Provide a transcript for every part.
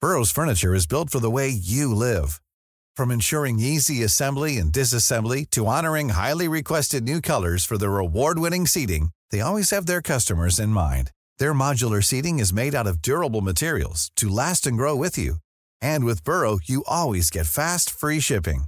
Burrow's furniture is built for the way you live. From ensuring easy assembly and disassembly to honoring highly requested new colors for the award-winning seating, they always have their customers in mind. Their modular seating is made out of durable materials to last and grow with you. And with Burrow, you always get fast, free shipping.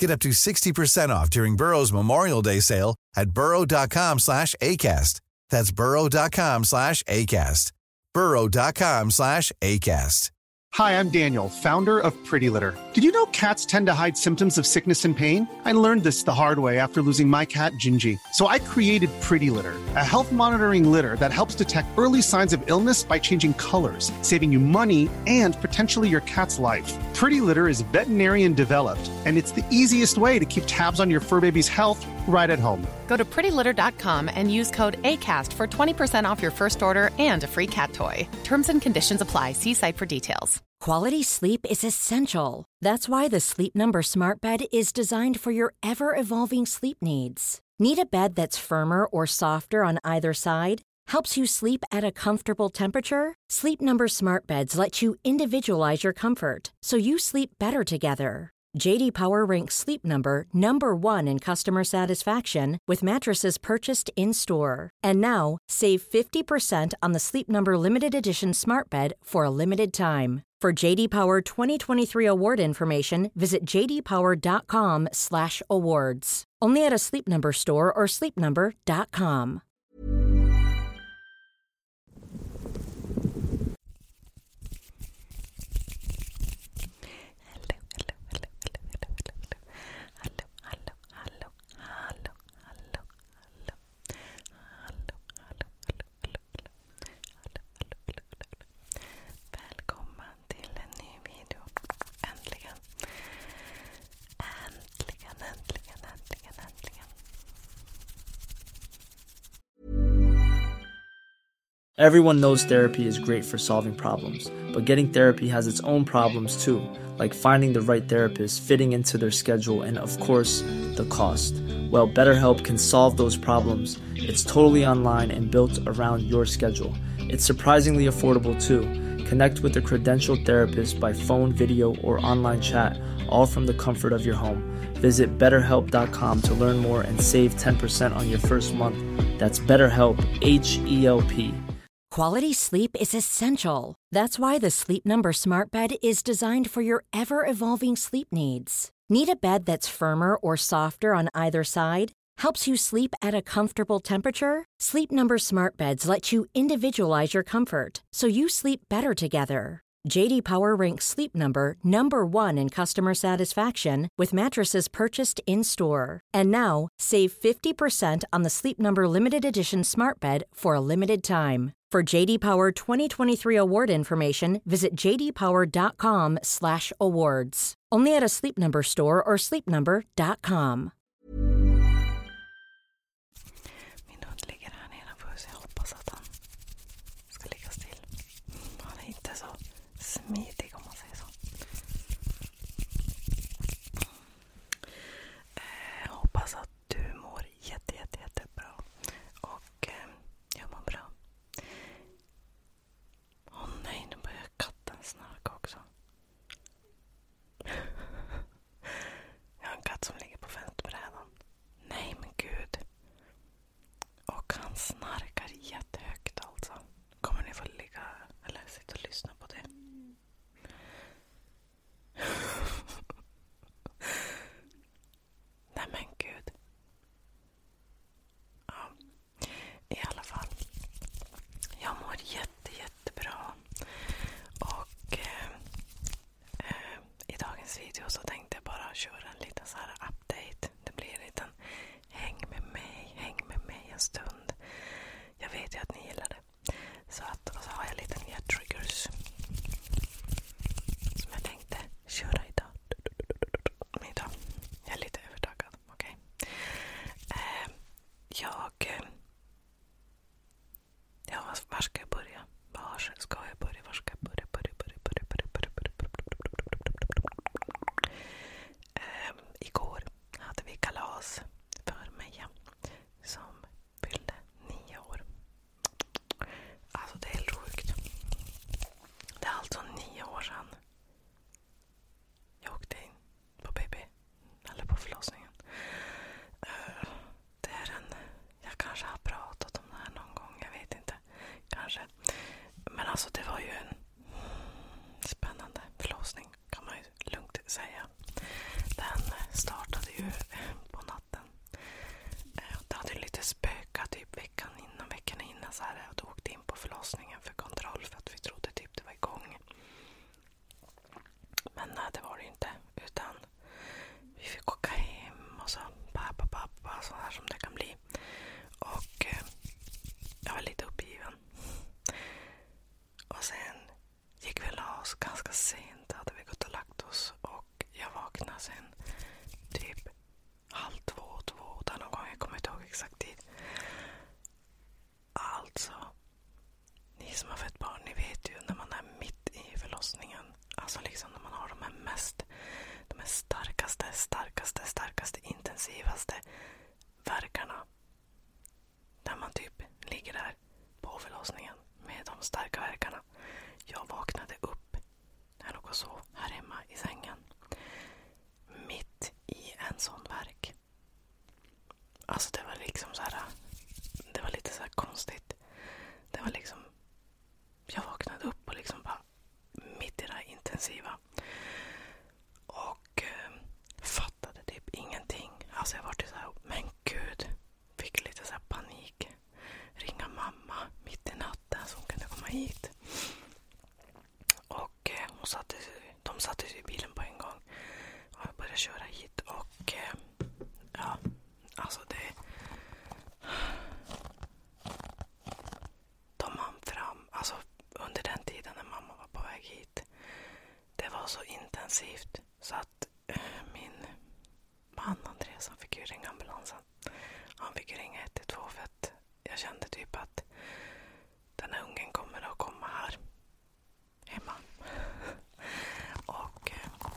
Get up to 60% off during Burrow's Memorial Day sale at burrow.com slash ACAST that's burrow.com slash ACAST. Burrow.com slash ACAST. Hi, I'm Daniel, founder of Pretty Litter. Did you know cats tend to hide symptoms of sickness and pain? I learned this the hard way after losing my cat, Gingy. So I created Pretty Litter, a health monitoring litter that helps detect early signs of illness by changing colors, saving you money and potentially your cat's life. Pretty Litter is veterinarian developed, and it's the easiest way to keep tabs on your fur baby's health right at home. Go Go to prettylitter.com and use code ACAST for 20% off your first order and a free cat toy. Terms and conditions apply. See site for details. Quality sleep is essential. That's why the Sleep Number Smart Bed is designed for your ever evolving sleep needs. Need a bed that's firmer or softer on either side? Helps you sleep at a comfortable temperature? Sleep Number Smart Beds let you individualize your comfort so you sleep better together. JD Power ranks Sleep Number number 1 in customer satisfaction with mattresses purchased in-store. And now, save 50% on the Sleep Number limited edition Smart Bed for a limited time. For JD Power 2023 award information, visit jdpower.com/awards. Only at a Sleep Number store or sleepnumber.com. Hello, hello, hello, hello, hello, hello. Hallå, hallå, hallå, hallå, hallå, hallå. Hallå, hallå, hallå, hallå, hallå. Hallå, hallå, hallå, hallå. Välkomna till en ny video. Äntligen. Äntligen, äntligen, äntligen, äntligen. Everyone knows therapy is great for solving problems, but getting therapy has its own problems too, like finding the right therapist, fitting into their schedule, and of course, the cost. Well, BetterHelp can solve those problems. It's totally online and built around your schedule. It's surprisingly affordable too. Connect with a credentialed therapist by phone, video, or online chat, all from the comfort of your home. Visit betterhelp.com to learn more and save 10% on your first month. That's BetterHelp, H E L P. Quality sleep is essential. That's why the Sleep Number Smart Bed is designed for your ever evolving sleep needs. Need a bed that's firmer or softer on either side? Helps you sleep at a comfortable temperature? Sleep Number Smart Beds let you individualize your comfort so you sleep better together. JD Power ranks Sleep Number number 1 in customer satisfaction with mattresses purchased in-store. And now, save 50% on the Sleep Number limited edition Smart Bed for a limited time. For JD Power 2023 award information, visit jdpower.com/awards. Only at a Sleep Number store or sleepnumber.com. ska ligga still. Han är inte så smidig om man säger så. Eh, hoppas att du mår jätte, jätte, jättebra och eh, jag mår bra. Åh oh, nej, nu börjar katten snarka också. jag har en katt som ligger på fönsterbrädan. Nej men gud. Och han snarkar jättehögt alltså. Kommer ni få ligga eller sitta och lyssna på det? Nej men gud. Ja. I alla fall. Jag mår jätte, jättebra. Och eh, eh, i dagens video så tänkte jag bara köra en liten så här update. Det blir en liten häng med mig, häng med mig en stund. Jag vet ju att ni gillar det. Så att, och så har jag lite nya triggers. Som jag tänkte köra idag. idag, jag är lite övertagad. Okej? Okay. Ehm, jag... Eh, ja, var ska jag börja? Var ska jag börja? igår hade vi kalas för Meja som fyllde nio år. Alltså det är helt sjukt. Det är alltså nio år sedan jag åkte in på förlossningen. det är en, jag kanske har pratat om det här någon gång, jag vet inte. Kanske. Men alltså det var ju en spännande förlossning kan man ju lugnt säga. Den eh, startade ju eh, på natten. Eh, det hade lite spökat typ veckan innan, veckan innan. Så här, och då åkte in på förlossningen för kontroll för att vi trodde typ det var igång. Men nej, det var det ju inte. Utan vi fick åka hem och så pappa, pappa, sånt här som det kan bli. Och eh, jag var lite uppgiven. Och sen gick vi och la oss ganska sent. Hade vi gått och lagt oss. Och jag vaknade sen typ halv två, två där någon gång. Jag kommer inte ihåg exakt tid. Alltså, ni som har fött barn, ni vet ju när man är mitt i förlossningen. Alltså liksom när man har de här mest de här starkaste, starkaste, starkaste, intensivaste verkarna. Där man typ ligger där på förlossningen med de starka verkarna. Jag vaknade upp när jag låg och sov här hemma i sängen. Mitt i en sån verk. Alltså det var liksom så här, Det var lite så konstigt. Det var liksom... Jag vaknade upp och liksom bara mitt i det här intensiva. Och eh, fattade typ ingenting. Alltså jag var typ så här, men gud. Fick lite så panik. Ringa mamma mitt i natten så hon kunde komma hit. Och eh, hon satte, de satte sig i bilen på en gång. Och jag började köra hit och eh, ja, alltså det de hann fram, alltså under den tiden när mamma var på väg hit. Det var så intensivt så att eh, min man Andreas han fick ju ringa ambulansen. Han fick ju ringa 112 för att jag kände typ att den här ungen kommer att komma här hemma. och eh,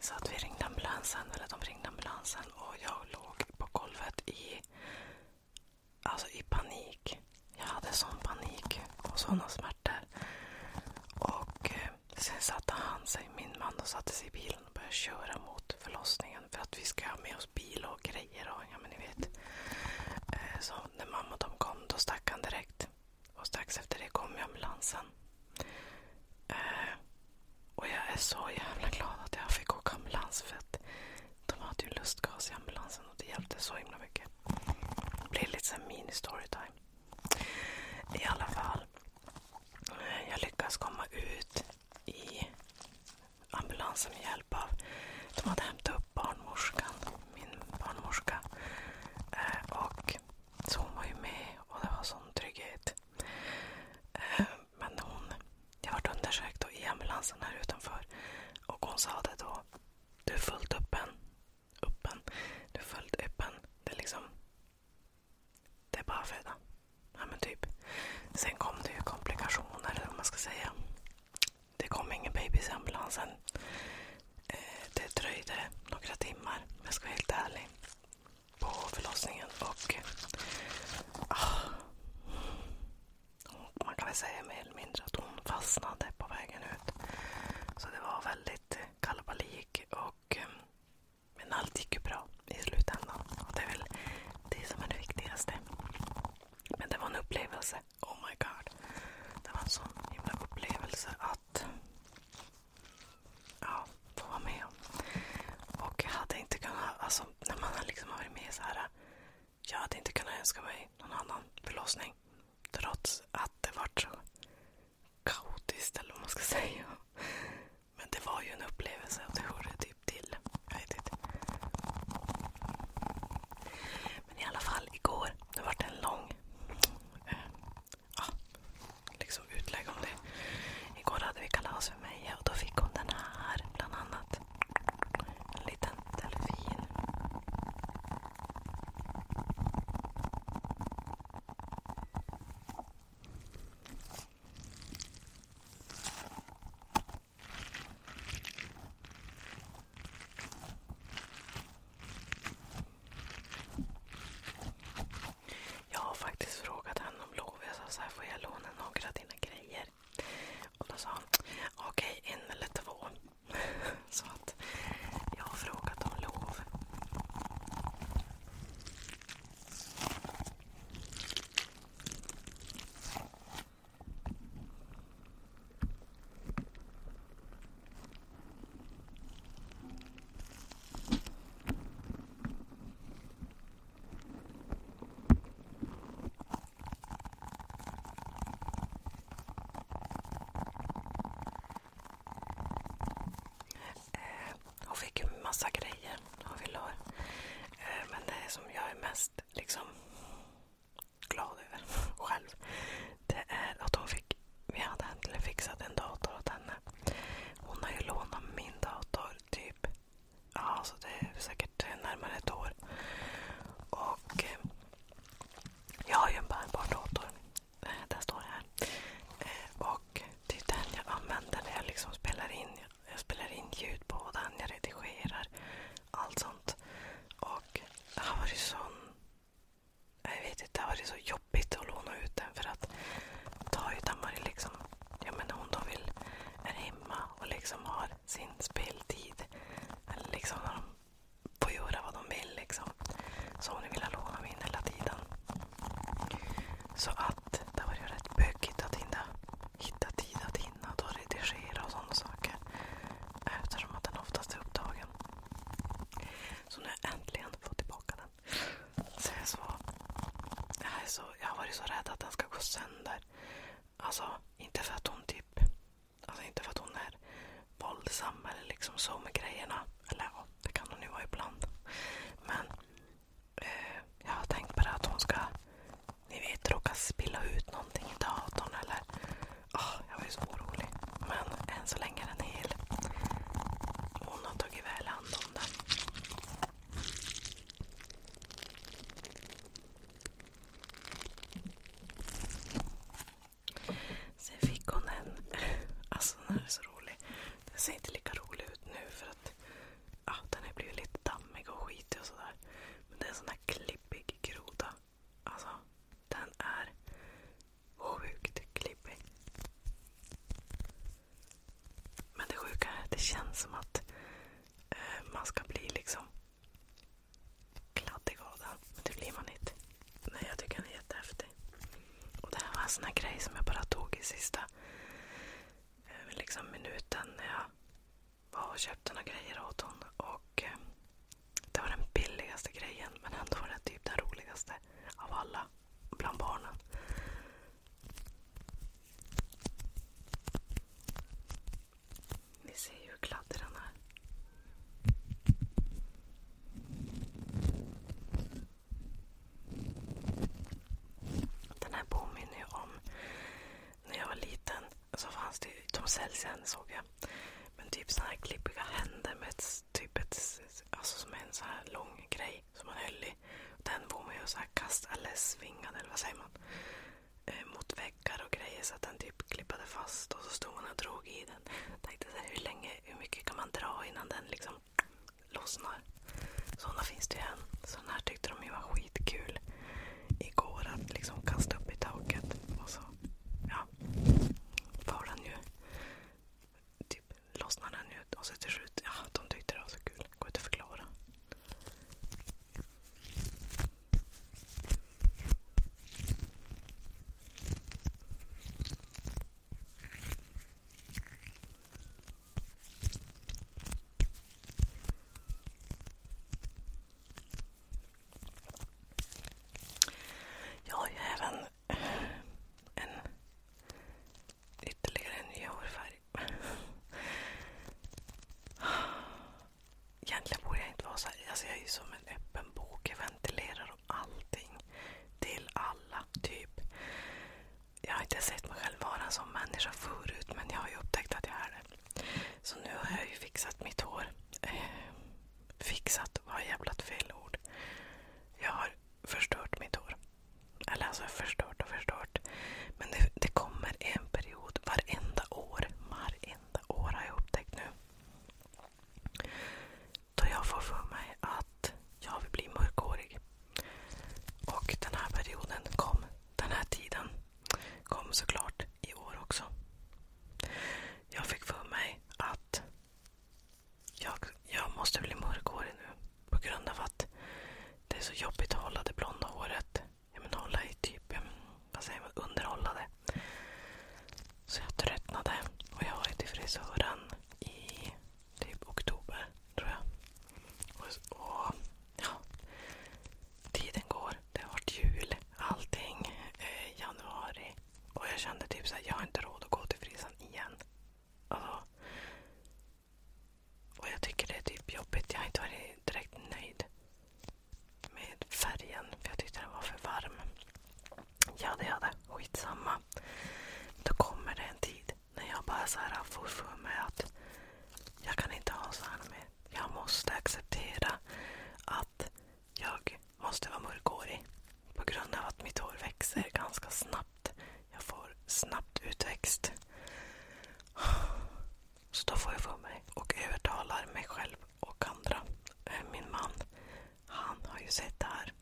Så att vi ringde ambulansen, eller de ringde ambulansen och jag låg på golvet i Alltså i panik. Jag hade sån panik och såna smärtor. Och eh, sen satte han sig, min man, och satte sig i bilen och började köra mot förlossningen. För att vi ska ha med oss bil och grejer och ja men ni vet. Eh, så när mamma och de kom då stack han direkt. Och strax efter det kom ambulansen. Och jag är så jävla glad att jag fick åka ambulans för att de hade ju lustgas i ambulansen och det hjälpte så himla mycket. Det blir lite såhär mini storytime. I alla fall. Jag lyckas komma ut i ambulansen med hjälp av... De hade hämtat upp barnmorskan, min barnmorska. Eh, och så hon var ju med och det var sån trygghet. Eh, men hon, jag vart undersökt då i ambulansen här utanför. Och hon sa det då. Du är fullt öppen. Öppen. Du är fullt öppen. Det är liksom... Det är bara att föda. Ja, men typ. Sen kom det ju komplikationer, eller vad man ska säga. Det kom ingen baby i ambulansen. Eh, det dröjde några timmar, om jag ska vara helt ärlig, på förlossningen. Och Ah. Man kan väl säga mer eller mindre att hon fastnade på vägen ut. Så det var väldigt eh, kalabalik. Och, eh, men allt gick ju bra i slutändan. Och det är väl det som är det viktigaste. Men det var en upplevelse. Oh my god. Det var en sån himla upplevelse att ja, få vara med om. Och jag hade inte kunnat, alltså när man liksom har varit med så här. Jag hade inte kunnat önska mig någon annan förlossning. Trots att det var så kaotiskt eller vad man ska säga. Men det var ju en upplevelse och det hörde typ till. Jag vet inte. Men i alla fall igår, det var en lång eh, liksom utlägg om det. Igår hade vi kalas hos mig och då fick hon den här bland annat. En liten delfin. Jag har faktiskt frågat henne om lov. Jag sa så här, får jag låna några av dina grejer? ner. Och då sa han okej okay, en eller två. Så att jag har frågat om lov. Eh, hon fick ju massa grejer hon ville ha. Eh, men det som jag är mest liksom glad över själv, det är att hon fick, vi hade äntligen fixat en dator åt henne. Hon har ju lånat min dator typ ja, så det är säkert närmare ett år. Och eh, Jag har ju en bärbar dator. Eh, den står här. Eh, och Det är den jag använder när jag liksom spelar in. Jag spelar in ljud på den, jag redigerar. Allt sånt. Och det har varit sån... Jag vet inte, det har varit så jobbigt att låna ut den. För att då ju Tamari liksom... Ja men hon då vill... Är hemma och liksom har sin speltid. Eller liksom när de får göra vad de vill. Liksom. Så hon vill låna min hela tiden. Så att det har varit rätt bökigt att hinna hitta tid att hinna redigera och sådana saker. Eftersom den oftast är upptagen. Så nu har jag äntligen fått tillbaka den. så, jag har varit så rädd att den ska gå sönder. Alltså, inte för att hon typ... Alltså inte för att hon är våldsam eller liksom så med grejerna. Eller ja, det kan hon ju vara ibland. Men eh, jag har tänkt på det att hon ska, ni vet, råka spilla ut någonting i datorn eller... Oh, jag var ju så orolig. Men än så länge är den hel. Hon har tagit väl hand om den. Sen fick hon en... Alltså den här är så rolig. Den ser inte lika rolig ut nu för att ja, den har blivit lite dammig och skitig och sådär. Men det är en sån här klippig groda. Alltså, den är sjukt klippig. Men det sjuka är att det känns som att Eh, man ska bli liksom kladdig av den. Men det blir man inte. Nej, jag tycker den är jättehäftig. Och det här var en sån här grej som jag bara tog i sista eh, liksom minuten när jag var och köpte några grejer åt hon. Och eh, det var den billigaste grejen men ändå var det typ den roligaste av alla bland barnen. Ni ser ju hur kladdig den är. Den här påminner ju om när jag var liten. Så fanns det, de säljs än såg jag. Men typ såna här klippiga händer med typ alltså en så här lång grej som man höll i. Den får man ju så här kasta eller svinga eller vad säger man? Eh, mot väggar och grejer så att den typ klippade fast och så stod hon och drog i den. tänkte så här, hur länge, hur mycket kan man dra innan den liksom lossnar? Sådana finns det ju än. Sådana här tyckte de ju var skitkul igår att liksom kasta upp i taket. Och så, ja, var den ju typ lossnade den ju och så till slut, ja de tyckte det var så kul. Går inte att förklara. Jag har ju även en ytterligare en hårfärg. Egentligen borde jag inte vara så här. Alltså jag är ju som en öppen bok. Jag ventilerar om allting. Till alla, typ. Jag har inte sett mig själv vara en sån människa förut, men jag har ju upptäckt att jag är det. Så nu har jag ju fixat mitt hår. Eh, fixat var jävla fel ord. Jag har förstört mitt hår. Eller alltså förstört och förstört. Men det, det kommer en period period varenda år. Varenda år har jag upptäckt nu. Då jag får för mig att jag vill bli mörkhårig. Och den här perioden kom. Den här tiden kom såklart i år också. Jag fick för mig att jag, jag måste bli mörkhårig nu på grund av att det är så jobbigt att hålla det blonda håret ja, men hålla i typ, vad säger man, underhållade. Så jag tröttnade och jag var till frisören i typ oktober, tror jag. Och, och ja, tiden går. Det har varit jul, allting, eh, januari. Och jag kände typ såhär, jag har inte råd att gå till frisan igen. Alltså, och jag tycker det är typ jobbigt. Jag har inte varit direkt nöjd med färgen. För jag tyckte den var för varm. Ja, det hade. Skitsamma. Då kommer det en tid när jag bara så här får för mig att jag kan inte ha så här mer. Jag måste acceptera att jag måste vara mörkhårig. På grund av att mitt hår växer ganska snabbt. Jag får snabbt utväxt. Så då får jag för mig och övertalar mig själv och andra. Eh, min man, han har ju sett det här.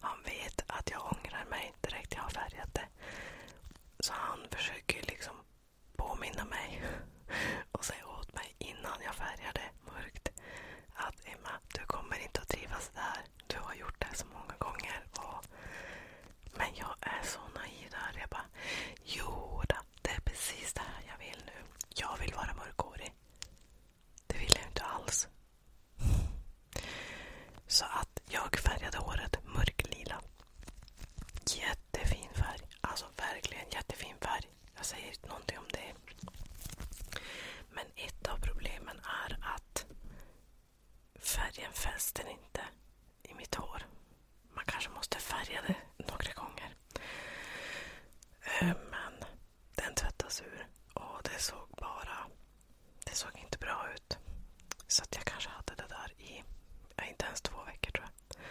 Han vet att jag ångrar mig direkt jag har färgat det. Så han försöker liksom påminna mig och säga åt mig innan jag färgar det mörkt att Emma, du kommer inte att trivas där. Du har gjort det så många gånger. Och men jag är så naiv där. Jag bara, jo då, det är precis det här jag vill nu. Jag vill vara mörkhårig. Det vill jag inte alls. Så att jag färgade håret mörklila. Jättefin färg. Alltså verkligen jättefin färg. Jag säger inte någonting om det. Men ett av problemen är att färgen fäster inte i mitt hår man kanske måste färga det några gånger. Eh, men den tvättas ur och det såg bara... Det såg inte bra ut. Så att jag kanske hade det där i inte ens två veckor tror jag.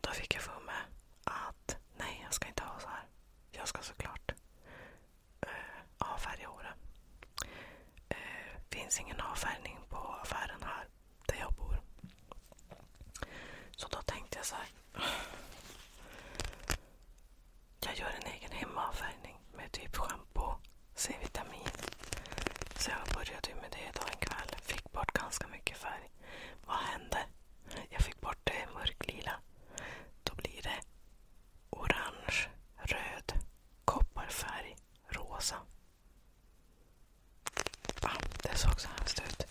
Då fick jag för mig att nej, jag ska inte ha så här. Jag ska såklart eh, avfärga håret. Det eh, finns ingen avfärgning på affären här där jag bor. Så då tänkte jag så här. Jag gör en egen hemmaavfärgning med typ schampo, C-vitamin. Så jag började med det idag en kväll. Fick bort ganska mycket färg. Vad hände? Jag fick bort det mörklila. Då blir det orange, röd, kopparfärg, rosa. Ja, det såg så hemskt ut.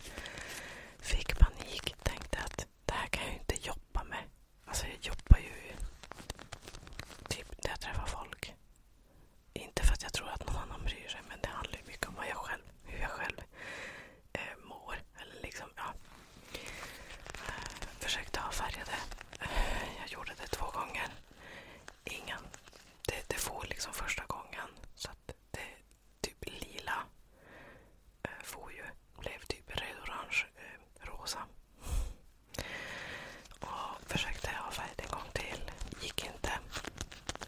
Fick panik. Tänkte att det här kan jag ju inte jobba med. Alltså jag jobbar ju typ när jag träffar folk. Inte för att jag tror att någon annan bryr sig men det handlar ju mycket om vad jag själv, hur jag själv eh, mår. Eller liksom, ja. Eh, försökte avfärga det. Eh, jag gjorde det två gånger. Ingen det, det får liksom första gången. Så det typ lila eh, får ju blev typ röd-orange, eh, rosa. Och försökte ha färg en gång till. Gick inte.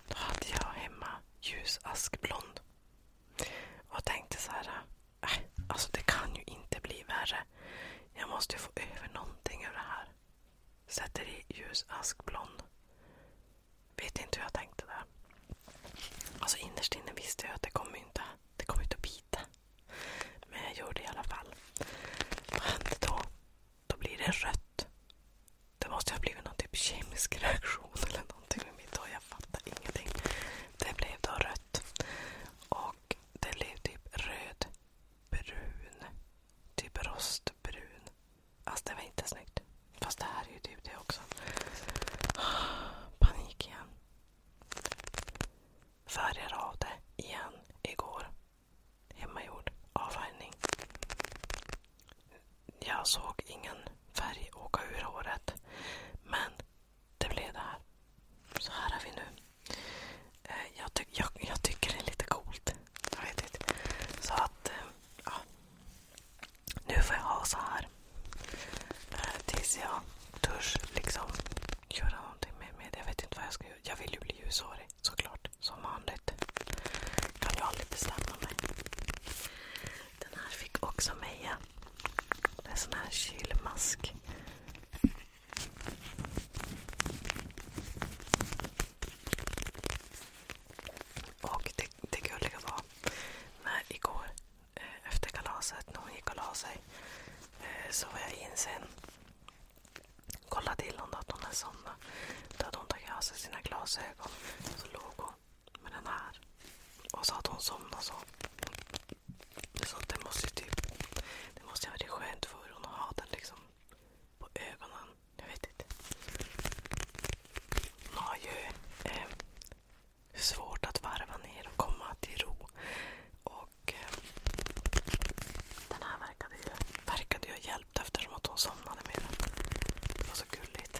Då hade jag hemma ljus askblond. Och tänkte så här. Äh, alltså det kan ju inte bli värre. Jag måste ju få över någonting ur det här. Sätter i ljus askblond. Vet inte hur jag tänkte där. Alltså innerst inne visste jag att det kommer inte, det kommer inte att bita. Men jag gjorde det i alla fall. Vad hände då? Då blir det rött. Det måste ha blivit någon typ kemisk reaktion eller någonting med mitt och Jag fattar ingenting. Det blev då rött. Och det blev typ röd, brun, typ rostbrun. Alltså det var inte snyggt. Fast det här är ju typ det också. Panik igen. Färgar av det igen igår. Hemmagjord avfärgning. Jag såg ingen färg åka ur håret. Men det blev det här. Så här är vi nu. Eh, jag, ty jag, jag tycker det är lite coolt. Jag vet inte. Så att, eh, ja. Nu får jag ha så här. Eh, tills jag törs liksom göra någonting med, det. Jag vet inte vad jag ska göra. Jag vill ju bli ljushårig såklart. Som vanligt. Kan ju aldrig bestämma mig. Den här fick också Meja. Det är en sån här kylmask. Och det, det gulliga var när igår eh, efter kalaset, när hon gick och la sig, eh, så var jag in sen. Kollade till honom att hon hade somnat. Då hade hon tagit av sig sina glasögon. Så låg hon med den här. Och sa att hon somnade så. Så det måste ju typ... Det måste ju ha varit skönt för hon att ha den liksom på ögonen. Jag vet inte. Hon har ju eh, svårt att varva ner och komma till ro. Och eh, Den här verkade ju, verkade ju ha hjälpt eftersom att hon somnade med den. Det var så gulligt.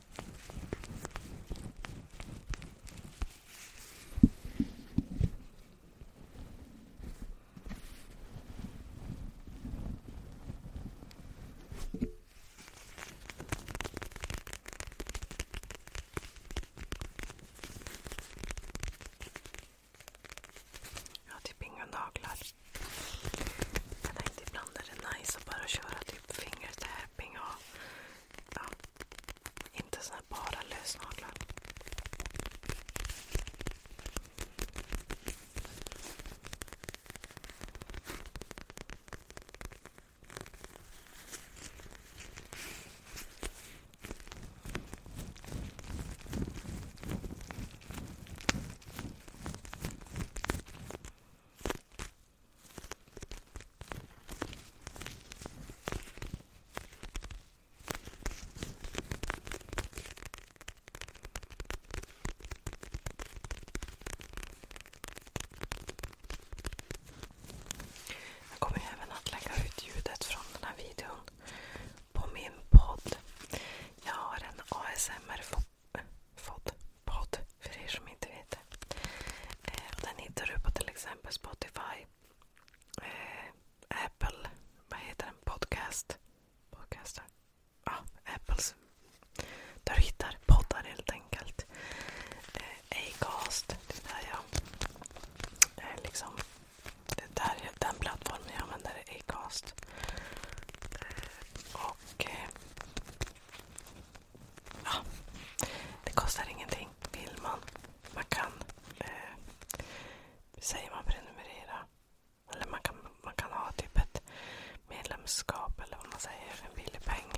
jag har typ inga naglar. Jag tänkte ibland är det nice att bara köra typ fingret här Norrköping och ja, inte såna bara lösnaglar. Jag kommer även att lägga ut ljudet från den här videon på min podd. Jag har en ASMR-fokus Fod, podd, för er som inte vet det. Eh, och den hittar du på till exempel Spotify, eh, Apple, vad heter den? Podcast. Podcaster. Ja, ah, Apples. Där du hittar poddar helt enkelt. Eh, Acast, det är där jag... Eh, liksom, det är där, den plattformen jag använder är Acast. Eh, och, eh, ja, det kostar ingenting. Vill man. Man kan, eh, säger man prenumerera. Eller man kan, man kan ha typ ett medlemskap eller vad man säger för en billig peng.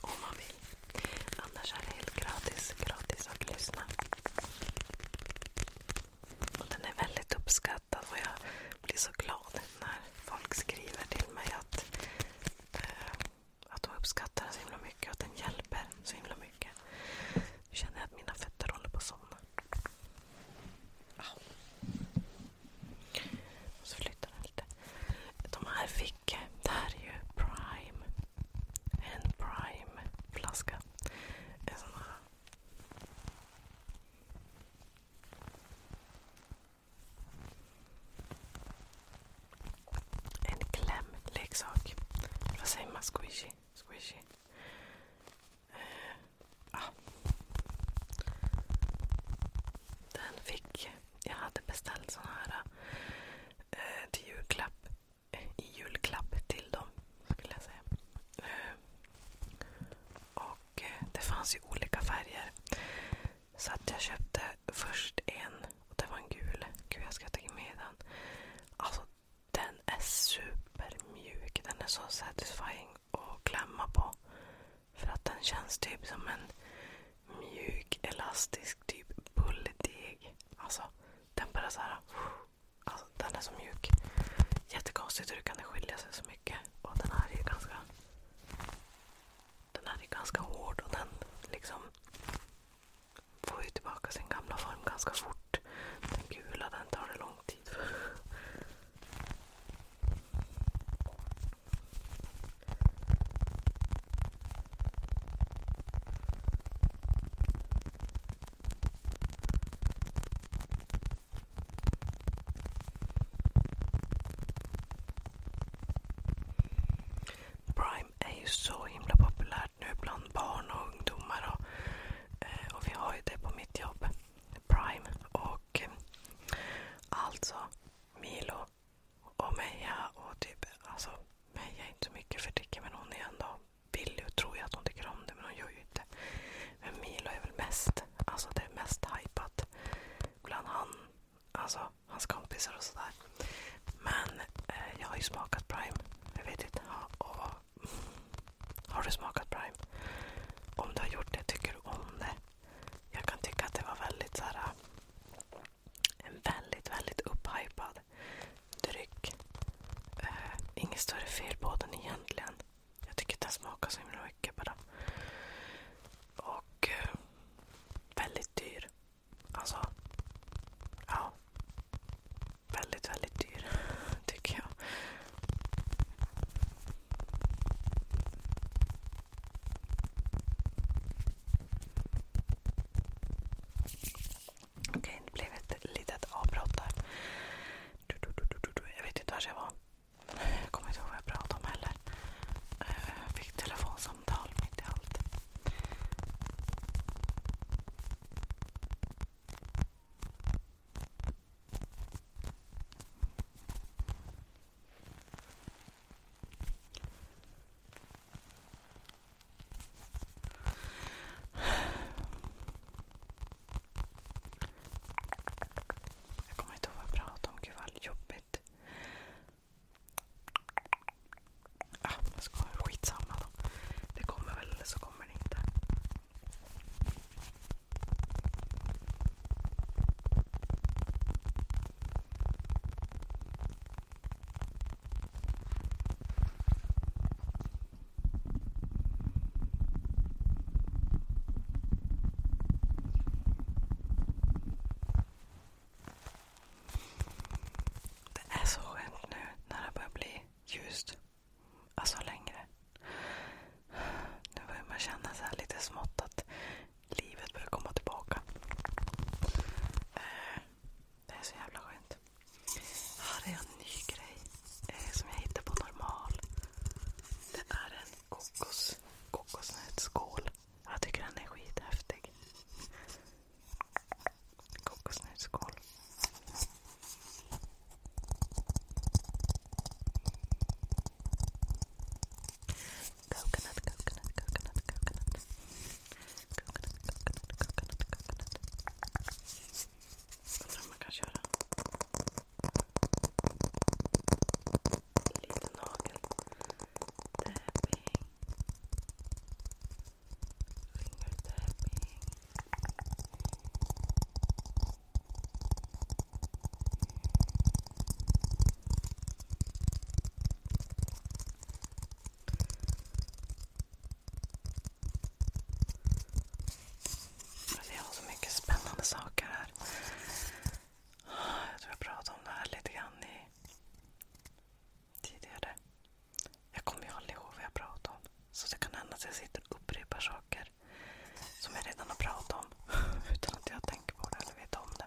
Om man vill. Annars är det helt gratis, gratis att lyssna. Och Den är väldigt uppskattad och jag blir så glad när folk skriver till mig att, eh, att de uppskattar den så himla mycket och att den hjälper så himla mycket. Nu känner jag att mina fötter håller på att somna. Och ah. så flyttar den lite. De här fick, eh, det här är ju Prime. En Prime-flaska. En sån här. En klämleksak. Vad säger man? Squishy? Squishy. Uh, ah. Den fick... Jag hade beställt såna här eh, till julklapp. I julklapp till dem, skulle jag säga. Eh, och det fanns ju olika färger. Så att jag köpte först en och det var en gul. Gud, jag ska ta med den. Alltså, den är supermjuk. Den är så satisfying att klämma på. För att den känns typ som en mjuk, elastisk typ bulldeg. Alltså, den bara såhär. Alltså, den är så mjuk. Jättekonstigt hur det kan skilja sig så mycket. Och den här är ju ganska den här är ganska hård och den liksom får ju tillbaka sin gamla form ganska fort. Den gula tar det lång tid för. Prime är ju så himla populärt nu bland barn och ungdomar. Och, eh, vi har ju det på mitt jobb. Prime. Och eh, alltså Milo och Meja typ, alltså, Meja är inte så mycket för Dicke men hon är ändå billig och tror att hon tycker om det men hon gör ju inte. Men Milo är väl mest, alltså det är mest hypat bland han Alltså hans kompisar och sådär. Men eh, jag har ju smakat Prime. Jag vet inte. Ha, och, har du smakat Prime? Om du har gjort det, tycker du om det? Jag kan tycka att det var väldigt så här, eh, en väldigt, väldigt upphypad dryck. Eh, inget större fel på den egentligen. Jag tycker att den smakar så himla mycket bara. Och eh, väldigt dyr. Alltså, ja. Väldigt, väldigt dyr, tycker jag. Okej, okay, det blev ett litet avbrott där. Jag vet inte var jag var. Jag kommer inte ihåg vad jag pratade om heller. Jag eh, fick telefonsamtal mitt i allt. Jag kommer inte ihåg vad jag pratade om. Gud vad jobbigt. Ja, ah, jag skojar. Skitsamma då. Det kommer väl eller så kommer det inte. Det är så skönt nu när det börjar bli ljust. Alltså längre. Nu börjar man känna så lite smått att livet börjar komma tillbaka. Eh, det är så jävla skönt. Här är en ny grej eh, som jag hittade på Normal. Det är en kokos, kokosnötsskål. Jag tycker den är skithäftig. Kokosnötsskål. Coconut, coconut, coconut, coconut. Coconut, coconut, coconut, coconut. Undrar om man kan köra en liten nagel tapping, finger tapping. Jag ser så mycket spännande saker här. Jag tror jag pratade om det här lite grann i, tidigare. Jag kommer ju aldrig ihåg vad jag pratade om. Så det kan hända att jag sitter och upprepar saker som jag redan har pratat om utan att jag tänker på det eller vet om det.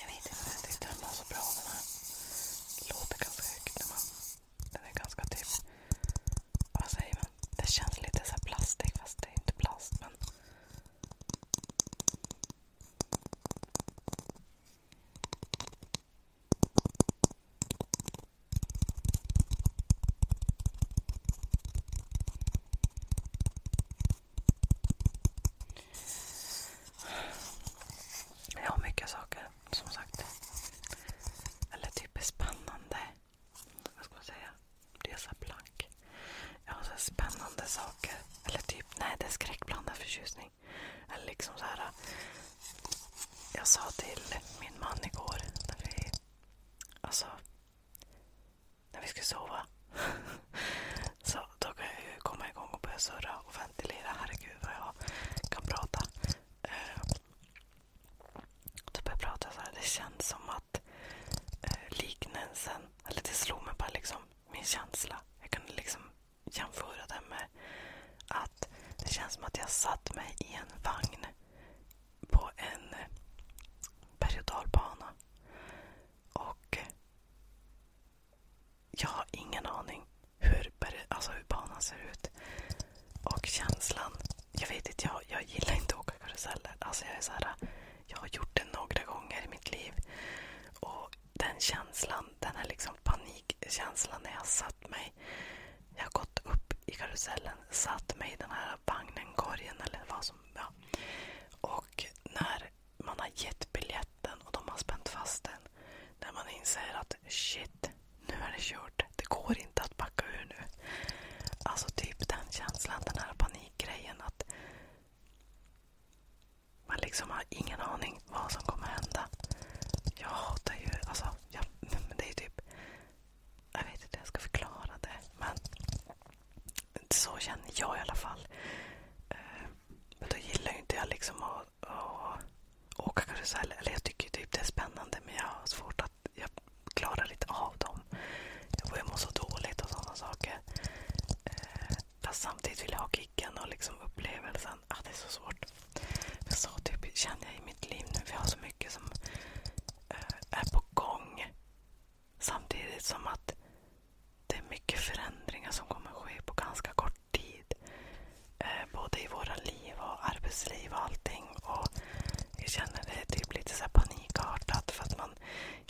Jag vet inte, jag tyckte den var så bra den här. Låter ganska högt när man... Den är ganska typ... Vad säger man? Det känns lite så plastig fast det är inte plast men... Ja, mycket saker som sagt. Eller typ spännande. Vad ska man säga? Resa plank. Ja, så spännande saker. Eller typ, nej det är skräckblandad förtjusning. Eller liksom så Jag sa till min man igår när vi alltså, skulle sova. Så då kan jag ju komma igång och börja surra och ventilera. Herregud vad jag kan prata. Eh, då börjar jag prata så här. Det känns som att eh, liknelsen, eller det slog mig bara liksom, min känsla. Jag kunde liksom jämföra den med att det känns som att jag satt mig i en vagn på en berg och dalbana. Och jag har ingen aning hur, alltså hur banan ser ut. Och känslan. Jag vet inte, jag, jag gillar inte att åka karuseller. Alltså jag, är så här, jag har gjort det några gånger i mitt liv. Och den känslan, den här liksom panikkänslan när jag satt mig. Jag har gått upp i karusellen, satt mig i den här vagnen, korgen eller vad som... Ja. Och när man har gett biljetten och de har spänt fast den. När man inser att shit, nu är det kört. Det går inte att backa ur nu. Alltså typ den känslan, den här panikgrejen. att Man liksom har ingen aning vad som kommer hända. Jag hatar ju, alltså, jag, men det är ju typ... Jag vet inte hur jag ska förklara det. Men så känner jag i alla fall. Eh, men då gillar ju inte jag liksom att, att åka karusell. Eller jag tycker typ det är spännande men jag har svårt att... Jag klarar inte av dem. Och jag mår så dåligt och sådana saker. Eh, fast samtidigt vill jag ha kicken och liksom upplevelsen. Ah, det är så svårt. Men så typ känner jag i mitt liv nu. Jag har så mycket som eh, är på gång. Samtidigt som att det är mycket förändringar som kommer ske på ganska kort tid. Eh, både i våra liv och arbetsliv och allting. Och jag känner det typ lite så panikartat för att man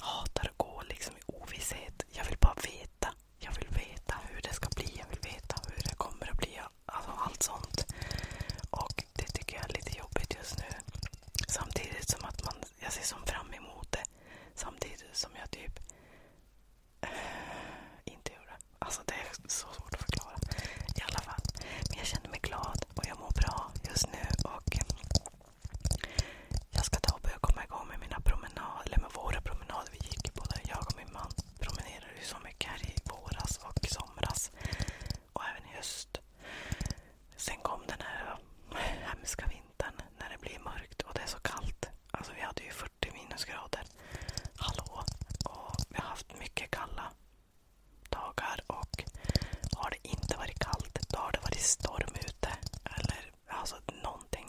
hatar att gå liksom i ovisshet. Jag vill bara veta. Jag vill veta hur det ska bli. Jag vill veta hur det kommer att bli. Alltså allt sånt. Och det tycker jag är lite jobbigt just nu. Samtidigt som att man, jag ser som fram emot det. Samtidigt som jag typ inte gjorde. Alltså det är så svårt att förklara. I alla fall. Men jag känner mig glad och jag mår bra just nu. Och mm, Jag ska ta och börja komma igång med mina promenader, eller med våra promenader. Vi gick ju båda. jag och min man promenerade ju så mycket här i våras och somras. Och även i höst. Sen kom den här hemska vintern när det blir mörkt och det är så kallt. Alltså vi hade ju 40 minusgrader. Hallå! Och vi har haft mycket kalla dagar och har det inte varit kallt, då har det varit storm ute. Eller alltså någonting.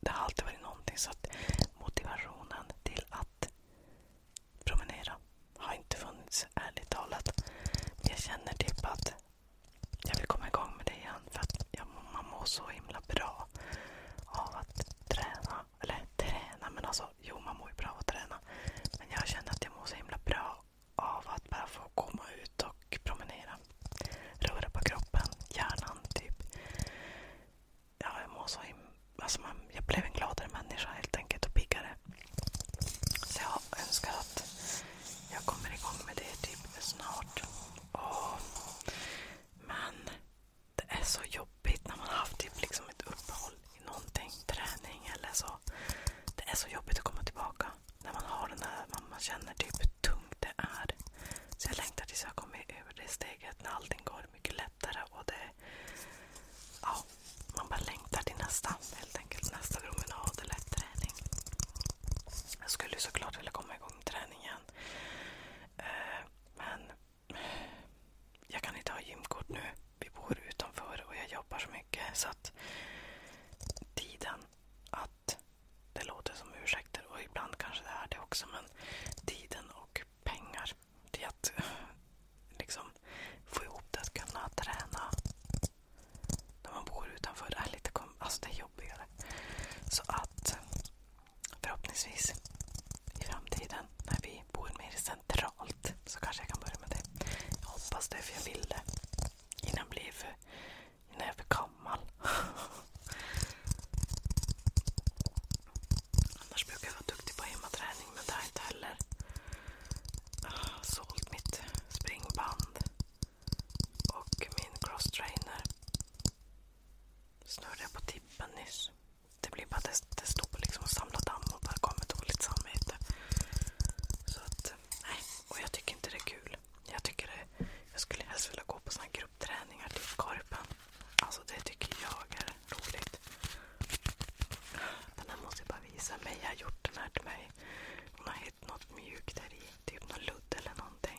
Det har alltid varit någonting. Så att motivationen till att promenera har inte funnits, ärligt talat. Jag känner typ att jag vill komma igång med det igen för att jag, man mår så himla bra av att träna. Eller träna, men alltså jo man mår ju bra av att träna. Men jag känner att jag mår så himla bra av att bara få komma ut och promenera. Röra på kroppen, hjärnan typ. Ja, jag mår så himla... Alltså man, jag blev en gladare människa helt enkelt och piggare. Så jag önskar att jag kommer igång med det typ snart. Men det är så jobbigt när man har haft typ liksom ett uppehåll i någonting, träning eller så. Det är så jobbigt att komma tillbaka. När man känner typ hur tungt det är. Så jag längtar tills jag kommer över det steget när allting går mycket lättare. Man bara längtar till nästa, Nästa promenad eller träning. Jag skulle såklart vilja komma igång med träningen igen. Eh, men jag kan inte ha gymkort nu. Vi bor utanför och jag jobbar så mycket. Så att tiden att... Det låter som ursäkter och ibland kanske det är det också. Men tiden och pengar till att eh, liksom, få ihop det, att kunna träna när man bor utanför är lite kom alltså det är jobbigare. Så att Förhoppningsvis i framtiden när vi bor mer centralt så kanske jag kan börja med det. Jag hoppas det för jag vill det. Innan jag blir för, innan jag blir gammal. Annars brukar jag vara duktig på hemmaträning men det har jag inte heller. Jag ah, har sålt mitt springband. Och min cross crosstrainer snurrade på tippen nyss. Det blir bara att det stod liksom och samlade damm och bara gav mig dåligt samvete. Så att, nej. Och jag tycker inte det är kul. Jag tycker det, jag skulle helst vilja gå på såna gruppträningar, typ Korpen. Alltså det tycker jag är roligt. Den här måste jag bara visa. Meja har gjort den här till mig. Hon har hittat något mjukt där i. Typ någon ludd eller någonting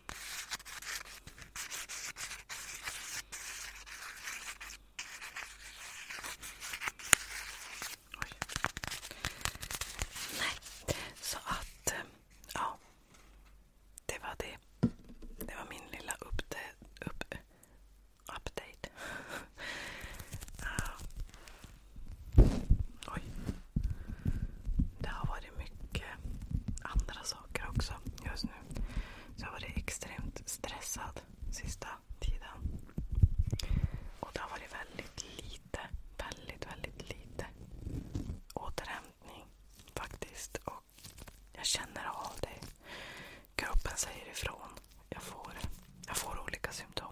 Oj. Nej, så att eh, ja. Det var det. Det var min lilla update. Upp, update. uh. Oj det har varit mycket andra saker också just nu. Så jag har varit extremt stressad sista tiden. Och det har varit väldigt lite, väldigt, väldigt lite återhämtning faktiskt. Och jag känner av det. Kroppen säger ifrån. Jag får, jag får olika symptom.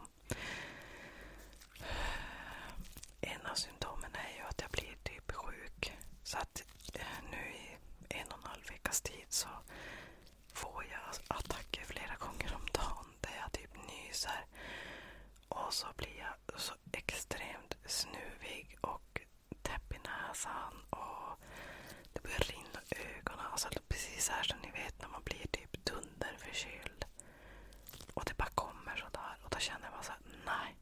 En av symptomen är ju att jag blir typ sjuk. Så att eh, nu i en och en halv veckas tid så får jag attacker flera gånger om dagen där jag typ nyser. Och så blir jag så extremt snuvig och täpp i näsan. Och det börjar rinna i ögonen. Alltså precis här som ni vet när man blir typ dunderförkyld. Och det bara kommer sådär. Och då känner jag bara såhär, nej.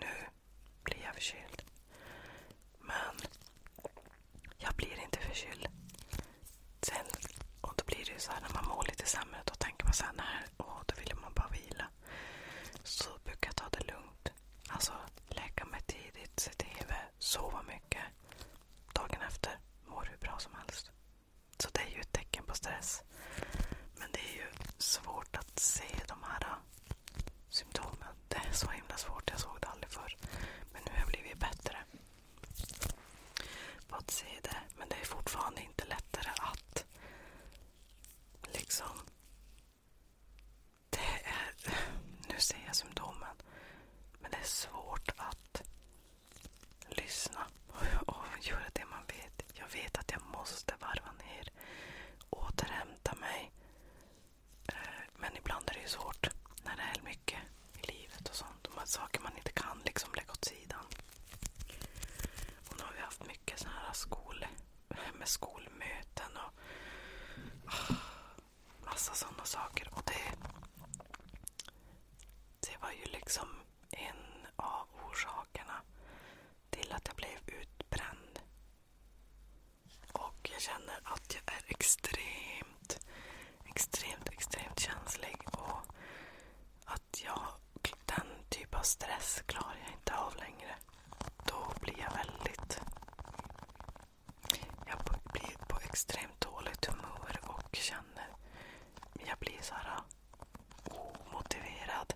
Nu blir jag förkyld. Men jag blir inte förkyld. Sen, och då blir det ju så här när man mår lite sämre. Då tänker man så här, nej, åh, då vill man bara vila. Så brukar jag ta det lugnt. Alltså lägga mig tidigt, se TV, sova mycket. Dagen efter mår hur bra som helst. Så det är ju ett tecken på stress. Men det är ju svårt att se de här äh, symptomen. Det är så himla svårt. Jag såg det aldrig förr. Men nu har jag blivit bättre på att se det. Men det är fortfarande inte lättare att liksom... Det är, nu ser jag symptomen. Men det är svårt att lyssna och göra det man vet. Jag vet att jag måste varva ner, återhämta mig. Eh, men ibland är det ju svårt när det är mycket i livet och sånt. De här saker man inte kan liksom lägga åt sidan. Och nu har vi haft mycket såna här skol, med skolmöten och ah, massa sådana saker. Och det, det var ju liksom en av orsakerna till att jag blev utbränd. Och jag känner att jag är extremt, extremt, extremt känslig. Och att jag, den typ av stress klarar jag inte av längre. Då blir jag väldigt... Jag blir på extremt dåligt humör och känner... Jag blir såhär omotiverad.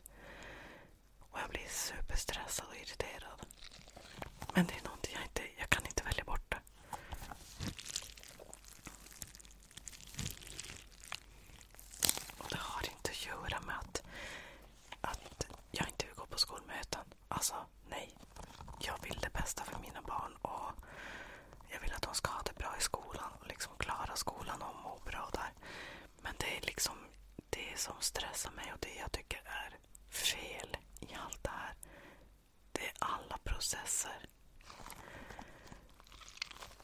Och jag blir superstressad och irriterad. Men det är någonting jag inte jag kan inte välja bort. Det. Och det har inte att göra med att, att jag inte vill gå på skolmöten. Alltså, nej. Jag vill det bästa för mina barn. och Jag vill att de ska ha det bra i skolan och liksom klara skolan och må bra där. Men det är liksom det som stressar mig och det jag tycker är fel i allt det här. Det är alla processer.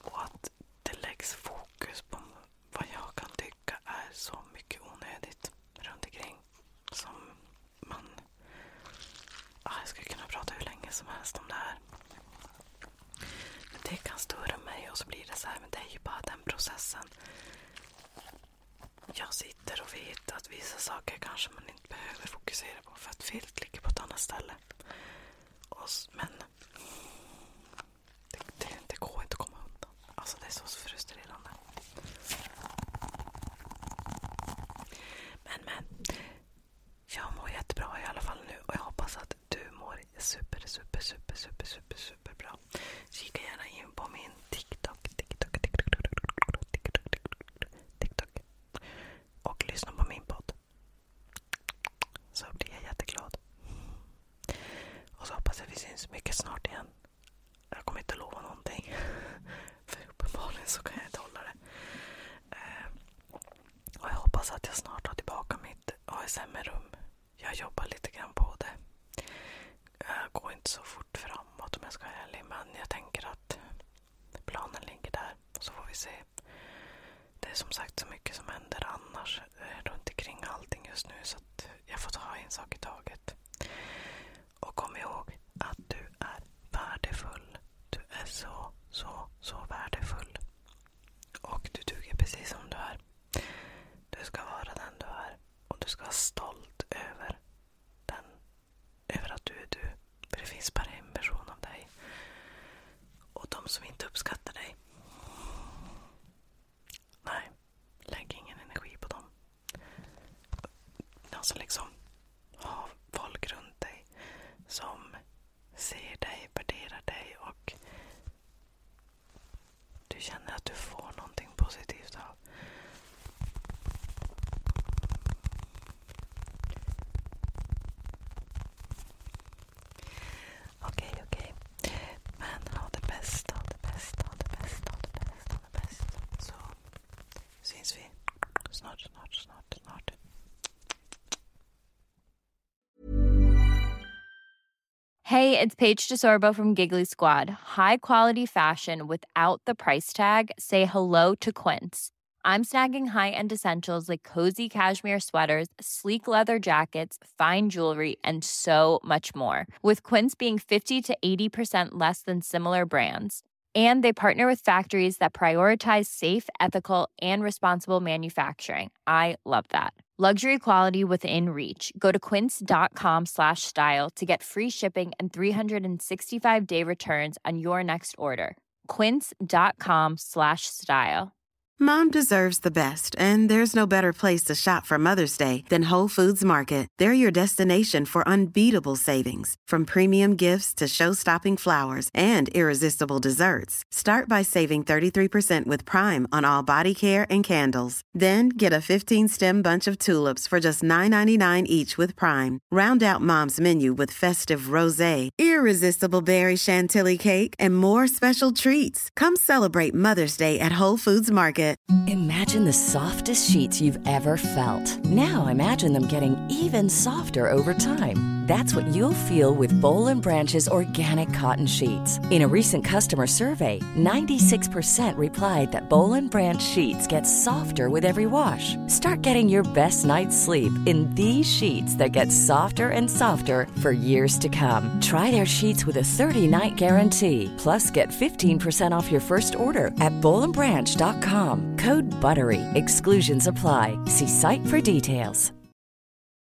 Och att det läggs fokus på vad jag kan tycka är så mycket onödigt runt omkring. Som man... Ah, jag skulle kunna prata hur länge som helst om det här. Det kan störa mig och så blir det så här, men det är ju bara den processen. Jag sitter och vet att vissa saker kanske man inte behöver fokusera på för att filt ligger på ett annat ställe. Och, men det, det, det går inte att komma undan. Alltså det är så frustrerande. Men men. Jag mår jättebra i alla fall nu och jag hoppas att att du mår super, super, super, super, super, super bra. Kika gärna in på min TikTok. TikTok, TikTok, TikTok, Och lyssna på min podd. Så blir jag jätteglad. Och så hoppas jag vi syns mycket snart igen. Jag kommer inte lova någonting. För uppenbarligen så kan jag inte hålla det. Eh, och jag hoppas att jag snart har tillbaka mitt ASMR-rum jag jobbar lite grann på det. Jag eh, går inte så fort framåt om jag ska vara ärlig. Men jag tänker att planen ligger där. Och så får vi se. Det är som sagt så mycket som händer annars runt omkring allting just nu. Så jag får ta en sak i taget. Och kom ihåg att du är värdefull. Du är så, så, så värdefull. Och du duger precis som du är. Du ska vara den du är. Och du ska vara stolt över den. Över att du är du. För det finns bara en version av dig. Och de som inte uppskattar dig. Nej, lägg ingen energi på dem. Alltså liksom, ha folk runt dig som ser dig, värderar dig och du känner att du får någonting positivt av. Okej, okej. ha det bästa, ha det bästa, ha det bästa, ha det bästa, Så syns vi snart, snart, snart. Hey, it's Paige DeSorbo from Giggly Squad. High quality fashion without the price tag. Say hello to Quince. I'm snagging high-end essentials like cozy cashmere sweaters, sleek leather jackets, fine jewelry, and so much more. With Quince being 50 to 80% less than similar brands. And they partner with factories that prioritize safe, ethical, and responsible manufacturing. I love that. Luxury quality within reach. Go to quince.com slash style to get free shipping and 365 day returns on your next order. Quince.com slash style. Mom deserves the best, and there's no better place to shop for Mother's Day than Whole Foods Market. They're your destination for unbeatable savings, from premium gifts to show stopping flowers and irresistible desserts. Start by saving 33% with Prime on all body care and candles. Then get a 15 stem bunch of tulips for just $9.99 each with Prime. Round out mom's menu with festive rose, irresistible berry chantilly cake, and more special treats. Come celebrate Mother's Day at Whole Foods Market. Imagine the softest sheets you've ever felt. Now imagine them getting even softer over time. That's what you'll feel with Bowl and or organic cotton sheets. In a recent customer survey, 96% replied that Bolin and Branch sheets get softer with every wash. Start getting your best night's sleep in these sheets that get softer and softer for years to come. Try their sheets with a 30-night guarantee. Plus, get 15% off your first order at BolinBranch.com. Code BUTTERY. Exclusions apply. See site for details.